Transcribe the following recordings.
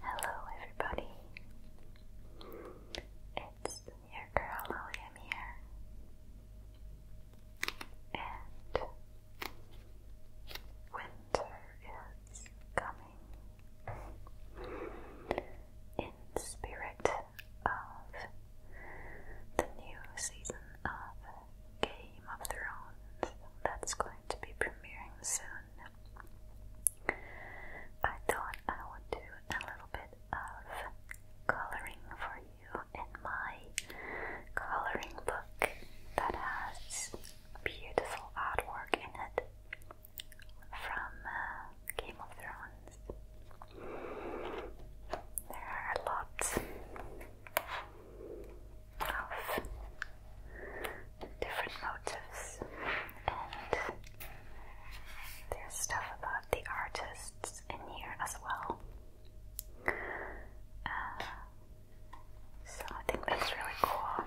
Hello, everybody. It's your girl William here, and winter coming. In spirit of the new season of Game of Thrones that's going to be premiering soon, I thought I would do a little bit of coloring for you in my coloring book that has beautiful artwork in it from uh, Game of Thrones. There are a of different motives, and there's stuff about the artists in here as well. Uh, so I think that's really cool.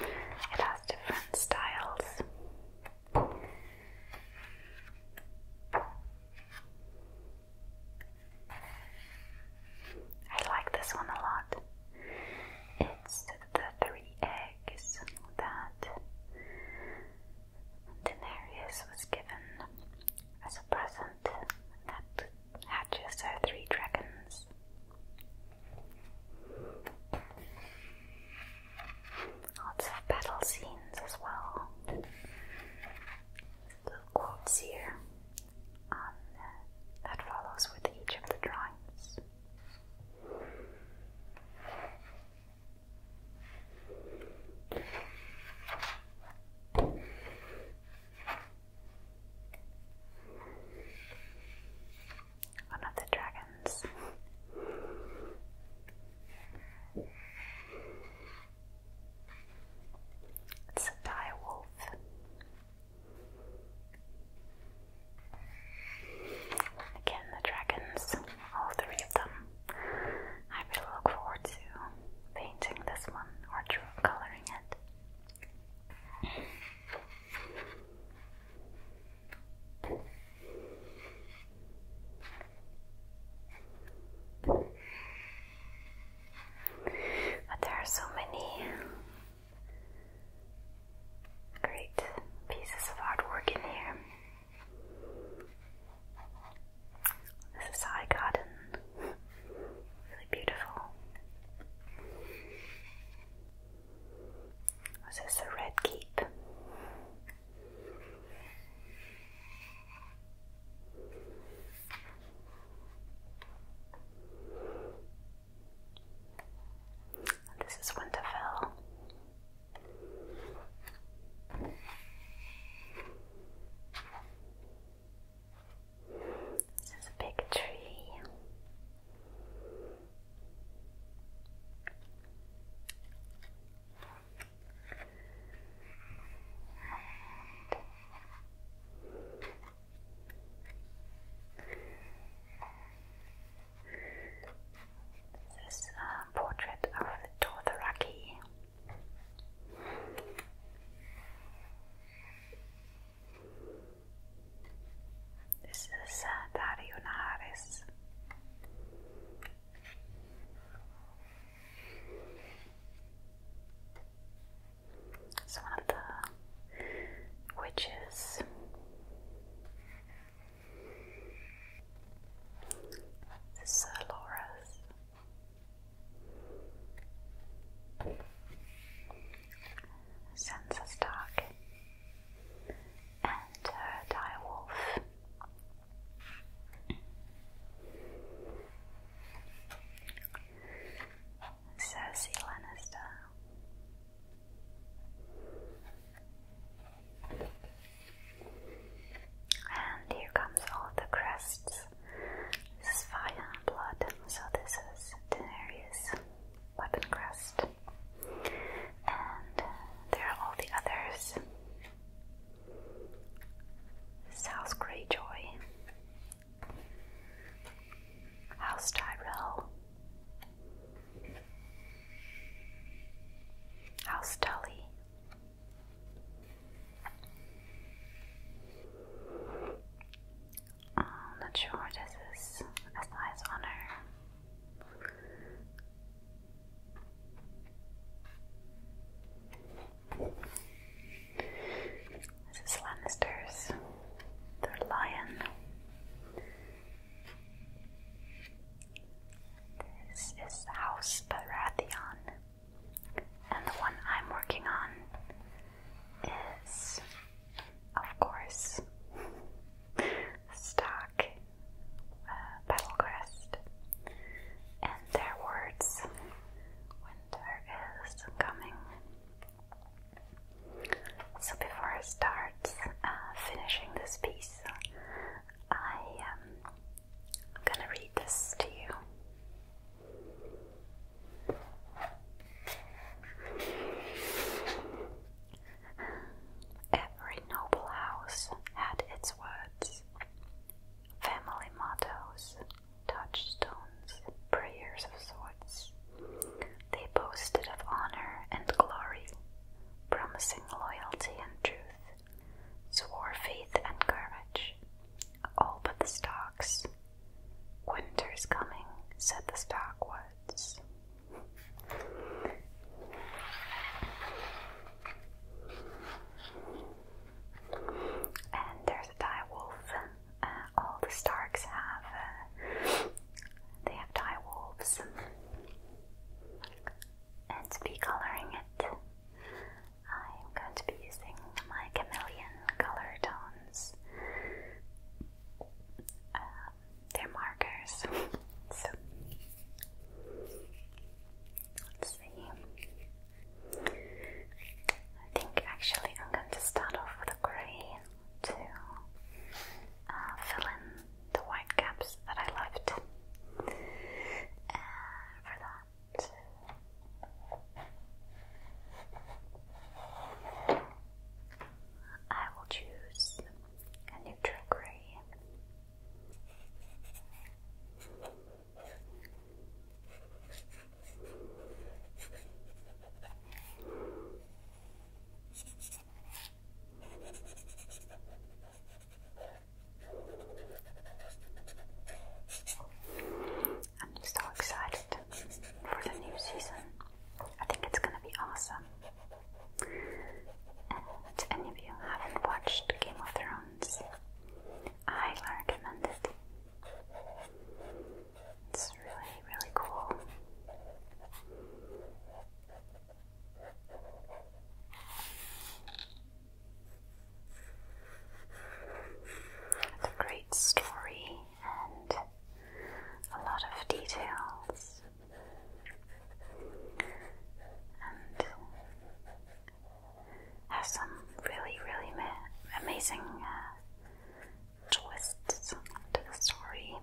It has different styles. I like this one a lot. It's the three eggs that Daenerys was given as a present hatches her three dragons. Lots of battle scenes as well. Little quotes here um, that follows with each of the drawings. One of the dragons. It's a dire Again, the dragons, all three of them. I really look forward to painting this one or coloring it. But there are so many great pieces of artwork in here. This is how I Really beautiful. Was this a red keep? This is Winterfell. This is a big tree. this is a portrait of the Dothraki. This is uh, Dario Naharis. It's one of the witches. This is Laura's. Sansa Stark, and her Lannister. And here comes all the crests this is fire and blood, so this is Daenerys' weapon crest. And there are all the others. House Greyjoy, House Tyrell, House Tully, I'm not sure this is a size honor. This is Lannisters, the lion. This is House Baratheon, and the one I'm working on is of course, stock uh, crest, and their winter is coming. So before I start uh, finishing this piece, I am gonna read this to you. Every noble house had its words, family mottos, touchstones, prayers of sorts. They boasted of honor and glory, promising loyalty and truth, swore faith and courage. All but the stocks, Winter's coming, said the stockwoods. and there's a dire uh, all the Starks have, uh, they have dire And to be coloring it, I'm going to be using my chameleon color tones. Uh, their markers. let's see. I think actually I'm going to start off with a grey to uh, fill in the white gaps that I left. Uh, for that. I will choose a neutral gray. I'm so excited for the new season. I think it's gonna be awesome. And any of you haven't watched Game of Thrones, I highly recommend it. It's really, really cool. It's a great story and a lot of details. And has some really, really amazing uh, twists to the story.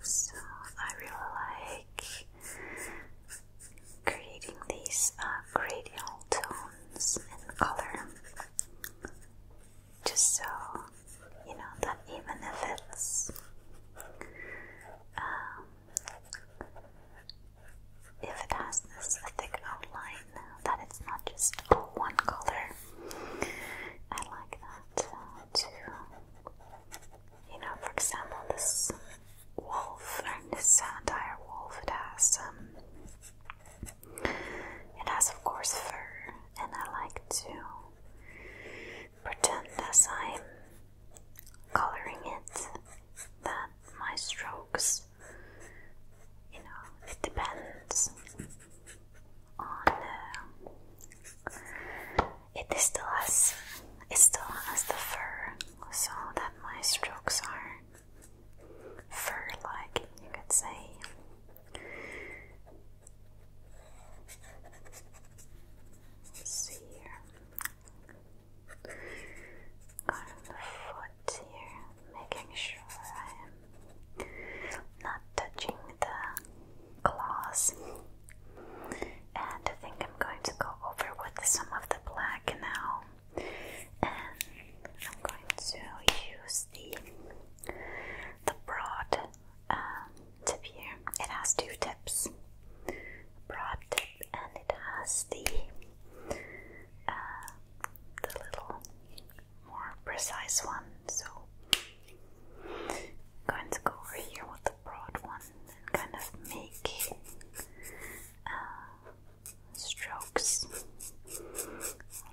So I really like creating these uh, tones and color just so you know that even if it's um, if it has this thick outline that it's not just one color I like that uh, you know, for example, this wolf and this entire wolf it has um, it has of course fur and I like to pretend as I'm coloring it that my strokes you know it depends on uh, it still has it still has the fur so that my strokes are fur like, you could say. see here. Got the foot here, making sure I am not touching the claws and I think I'm going to go over with some of the black now and I'm going to use the the broad um, tip here. It has two tips, broad tip, and it has the uh, the little more precise one. So going to go over here with the broad one kind of make uh, strokes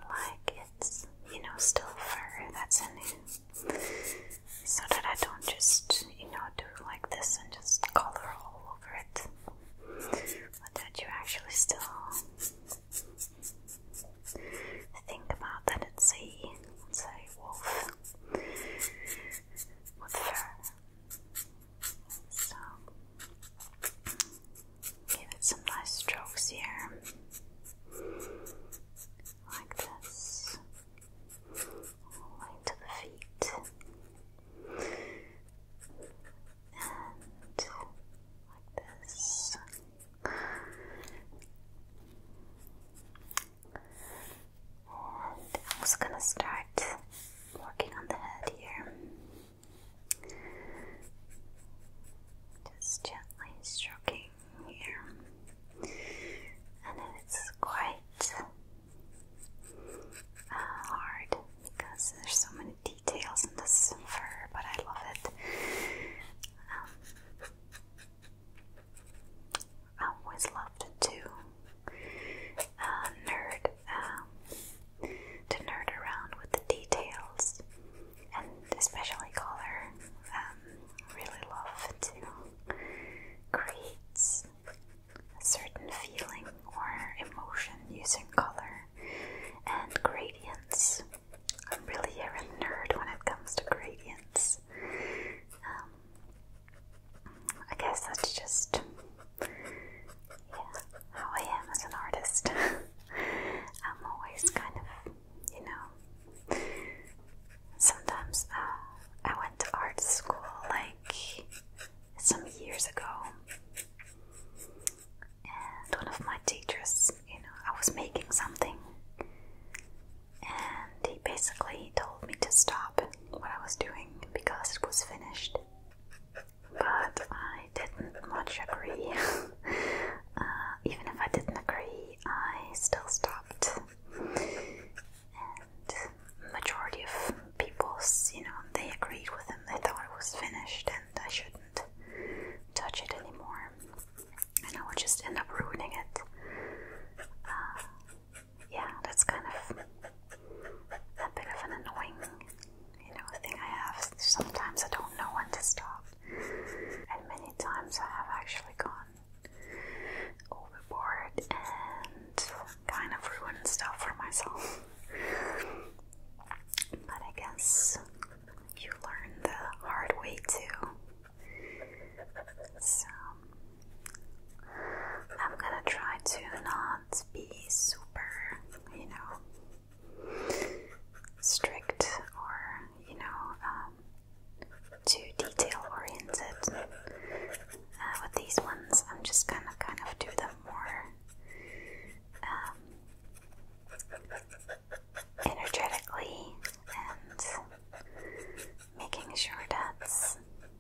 like it's you know still fur that's in it so that I don't just you know do like this and just color all over it but that you actually still think about that it's a, it's wolf with fur so give it some nice strokes here, like this, all the way to the feet, and like this. And I'm just gonna start working on the head here. Just gently stroking here. And it's quite uh, hard because there's so many details in this fur, but I love it. Um, I always loved to uh, nerd, um, to nerd around with the details and especially color. Um, really love to create a certain feeling or emotion using color and gradients. I'm really a nerd when it comes to gradients. Um, I guess that's just yeah, how I am as an artist. I'm always kind of, you know, sometimes uh, I went to art school like some years ago, and one of my teachers, you know, I was making something, and he basically told me to stop what I was doing because it was finished but I didn't much agree. Uh, even if I didn't agree, I still stopped. And majority of people's, you know, they agreed with him. They thought it was finished and I shouldn't touch it anymore. And I would just end up ruining it. Uh, yeah, that's kind of a bit of an annoying, you know, thing I have. Sometimes I don't know when to stop, and many times I have actually gone overboard and kind of ruined stuff for myself. But I guess you learn the hard way too. So I'm gonna try to not not be super, you know, strict or, you know, um, too detail oriented. Uh, with these ones, I'm just gonna kind of do them more um, energetically and making sure that,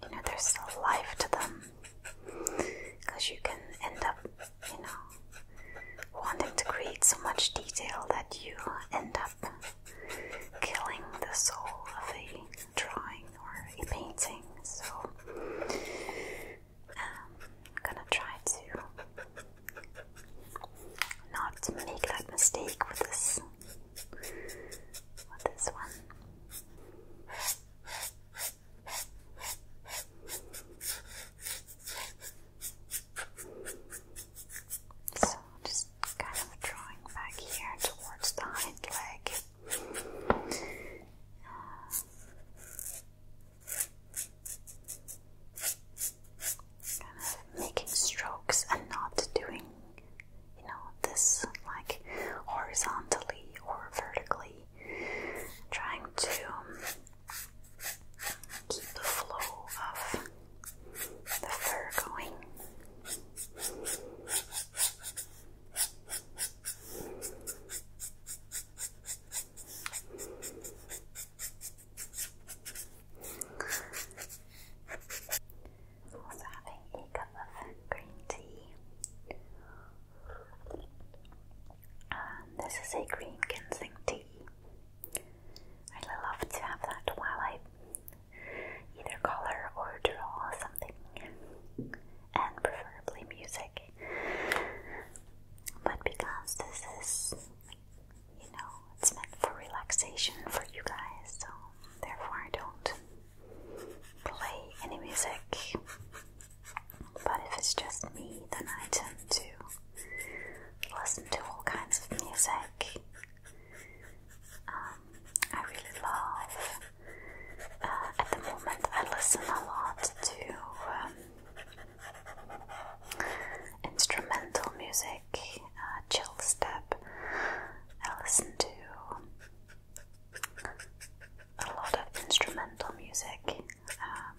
you know, there's still life to them because you can end up, you know, wanting to create so much detail that you end up killing the soul of a drawing or a painting. So, I'm um, gonna try to not make that mistake with this with this one. So just kind of drawing back here towards the hind leg. kind of making strokes and not doing, you know, this like horizontally or vertically really trying to keep the flow of the fur going. Also having a cup of green tea this is a green ginseng tea. I love to have that while I either color or draw something, and preferably music. But because this is, you know, it's meant for relaxation for you guys, so therefore I don't play any music. But if it's just me, then I tend to listen to all kinds of music. Um, I really love. Uh, at the moment, I listen a lot to um, instrumental music, uh, chill step. I listen to a lot of instrumental music. Um,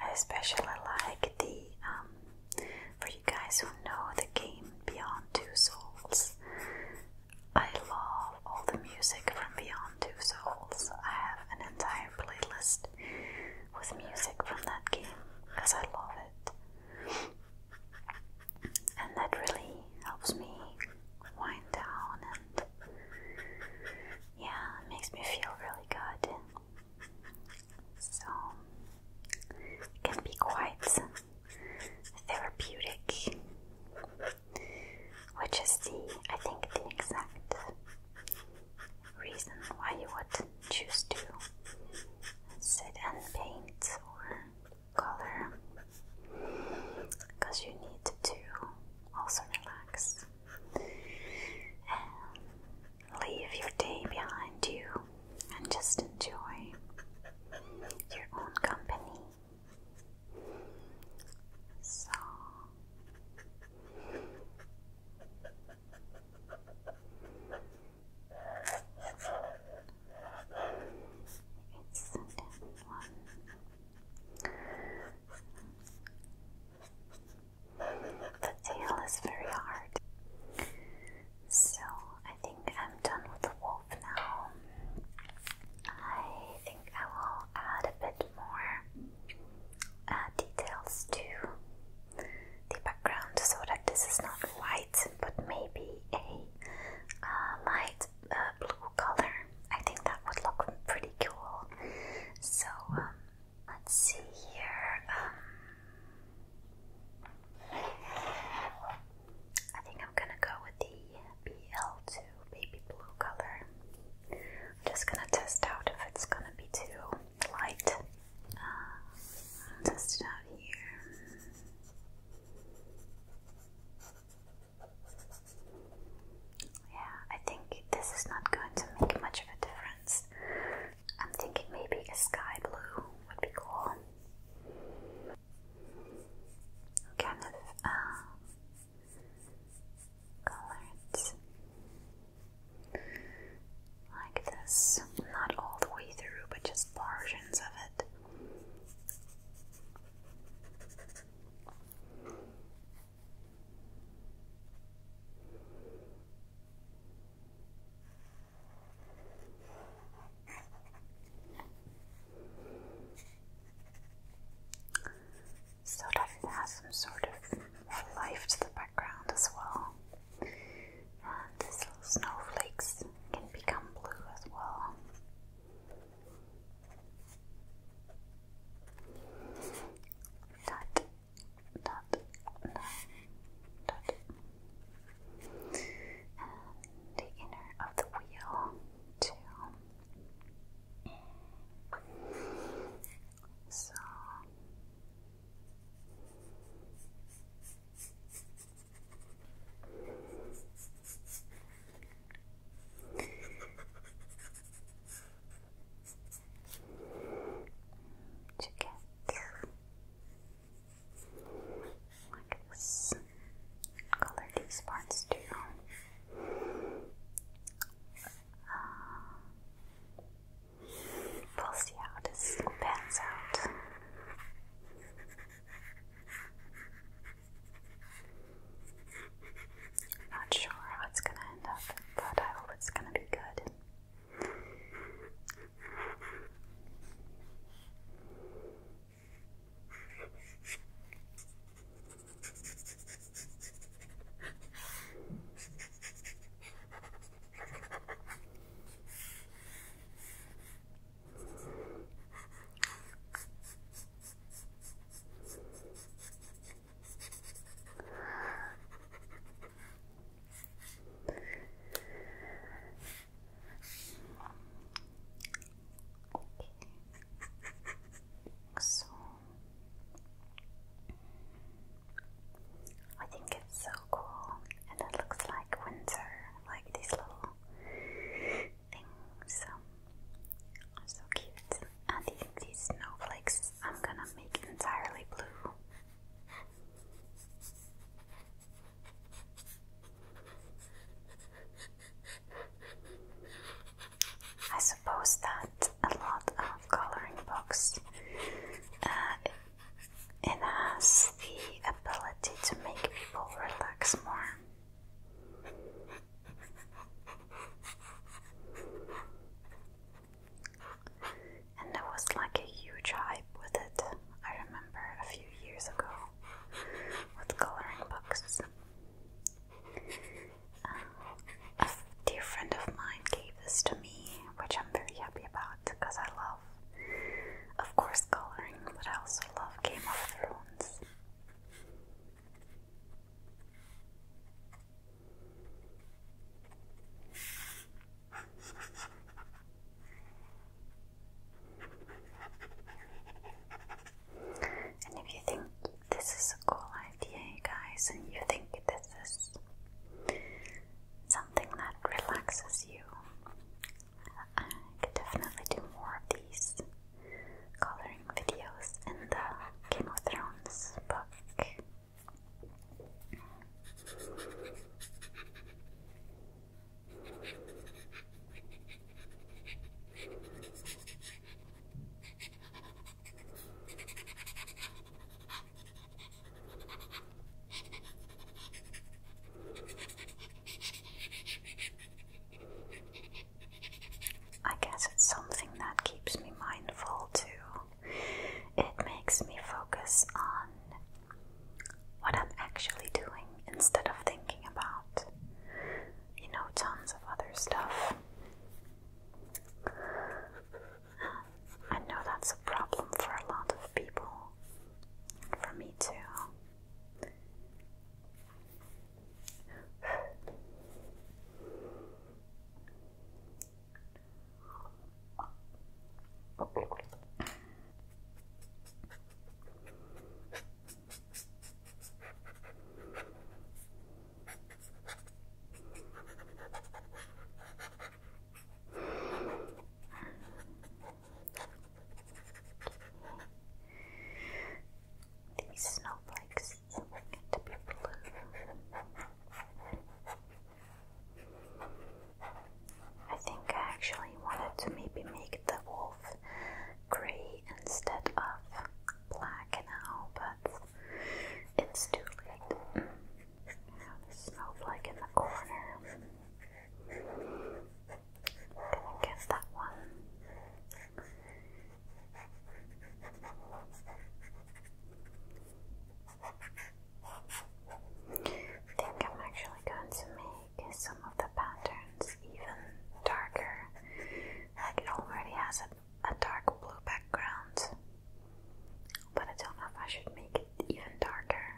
I especially like the, um, for you guys who know the game Beyond Two Souls, I love all the music from Beyond Two Souls. I have an entire playlist with music from that game because I love it. And that really helps me wind down and yeah, it makes me feel really good. So it can be quite therapeutic, which is the I think the exact reason why you would choose to sit and paint or color because you need to also relax and leave your day behind you and just enjoy your own company. So it's ten, one, the tail is very hard. So I think I'm done with the wolf now. I think I will add a bit more uh, details to the background so that this is not white but maybe a uh, light light blue color. I think that would look pretty cool. So um, let's see here. Um, I think I'm gonna go with the BL2 baby blue color. I'm just gonna test out if it's gonna be too light. Uh, test it out here. Yeah, I think this is not going to make much of a difference. I'm thinking maybe a sky blue would be cool. Kind of uh, like this, not all the way through, but just portions of it. So that has some sort of life to the background as well. And these little snowflakes can become blue as well. Dot, dot, dot, dot. And the inner of the wheel, too. So to get like this. Color these parts too. Uh, we'll see out. Not sure how it's gonna end up, but I hope it's gonna be good. So I think it's so cool, and it looks like winter, like these little things. Um, so cute. I uh, these snowflakes I'm gonna make entirely blue. I suppose that a lot of coloring books uh, it has the ability to make people relax more. And there was like a huge hype with it, I remember a few years ago, with coloring books. Uh, a dear friend of mine gave this to me, which I'm very happy about because I love, of course, coloring, but I also love Game of Thrones. And if you think this is a cool idea, guys, and you think this is something that relaxes you, I could definitely do more of these coloring videos and the Game of Thrones book. I guess it's something that keeps me mindful too. It makes me focus on what I'm actually doing instead of thinking about, you know, tons of other stuff. I know that's a problem for a lot of people, for me too. These snowflakes I think I actually wanted to maybe make the wolf grey instead of black now, but it's too late. Mm. Now the snowflake in the corner. Can I get that one? I think I'm actually going to make some of the patterns even darker. it already has a, a dark blue background, but I don't know if I should make it even darker.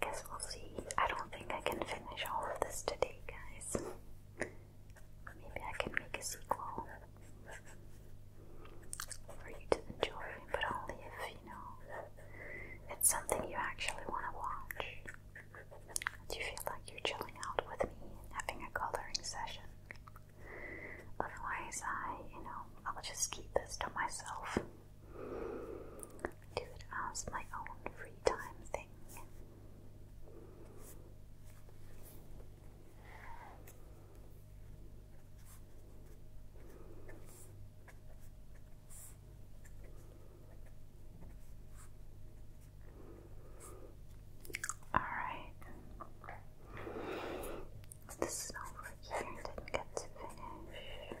Guess we'll see. I don't think I can finish all of this today, guys. Maybe I can make a sequel for you to enjoy, but only if you know it's something you actually want to watch. Do you feel like you're chilling out with me and having a coloring session? Otherwise, I, you know, I'll just keep this to myself do it as my own free time thing. All right, this is over here. Didn't get to finish.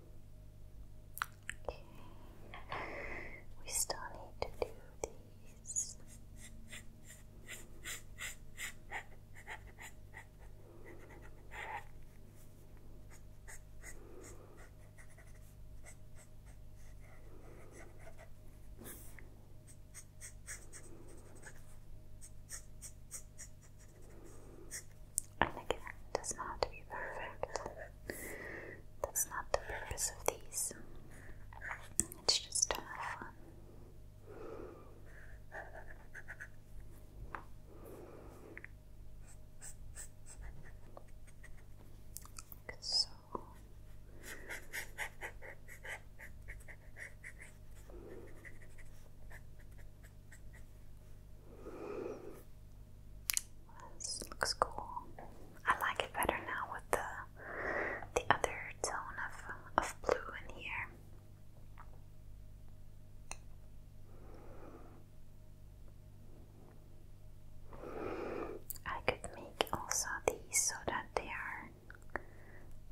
We still need to do this, And again, does not have to be perfect. That's not the purpose of these. It's just to have fun. so. This looks cool. I like it better now with the the other tone of of blue in here. I could make also these so that they are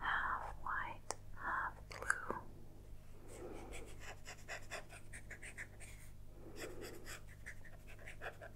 half white, half blue.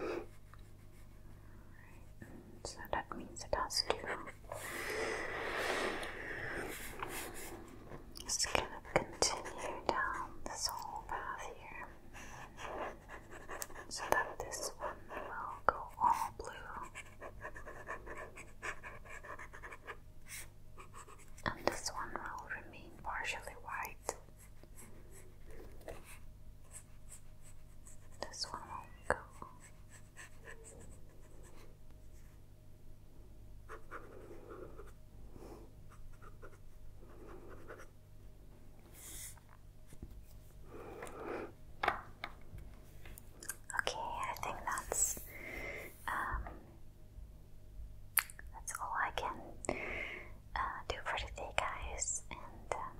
Right. So that means it has to just kind of continue down this whole path here. So that this one will go all blue and this one will remain partially white. This one will go. Okay, I think that's um, that's all I can uh, do for today, guys. And um,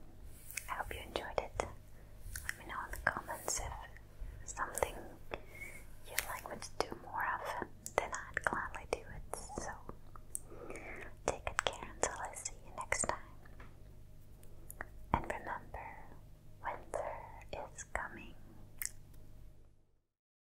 I hope you enjoyed it. Let me know in the comments if something you'd like me to do more of, then I'd gladly do it. So take good care until I see you next time. And remember, winter is coming.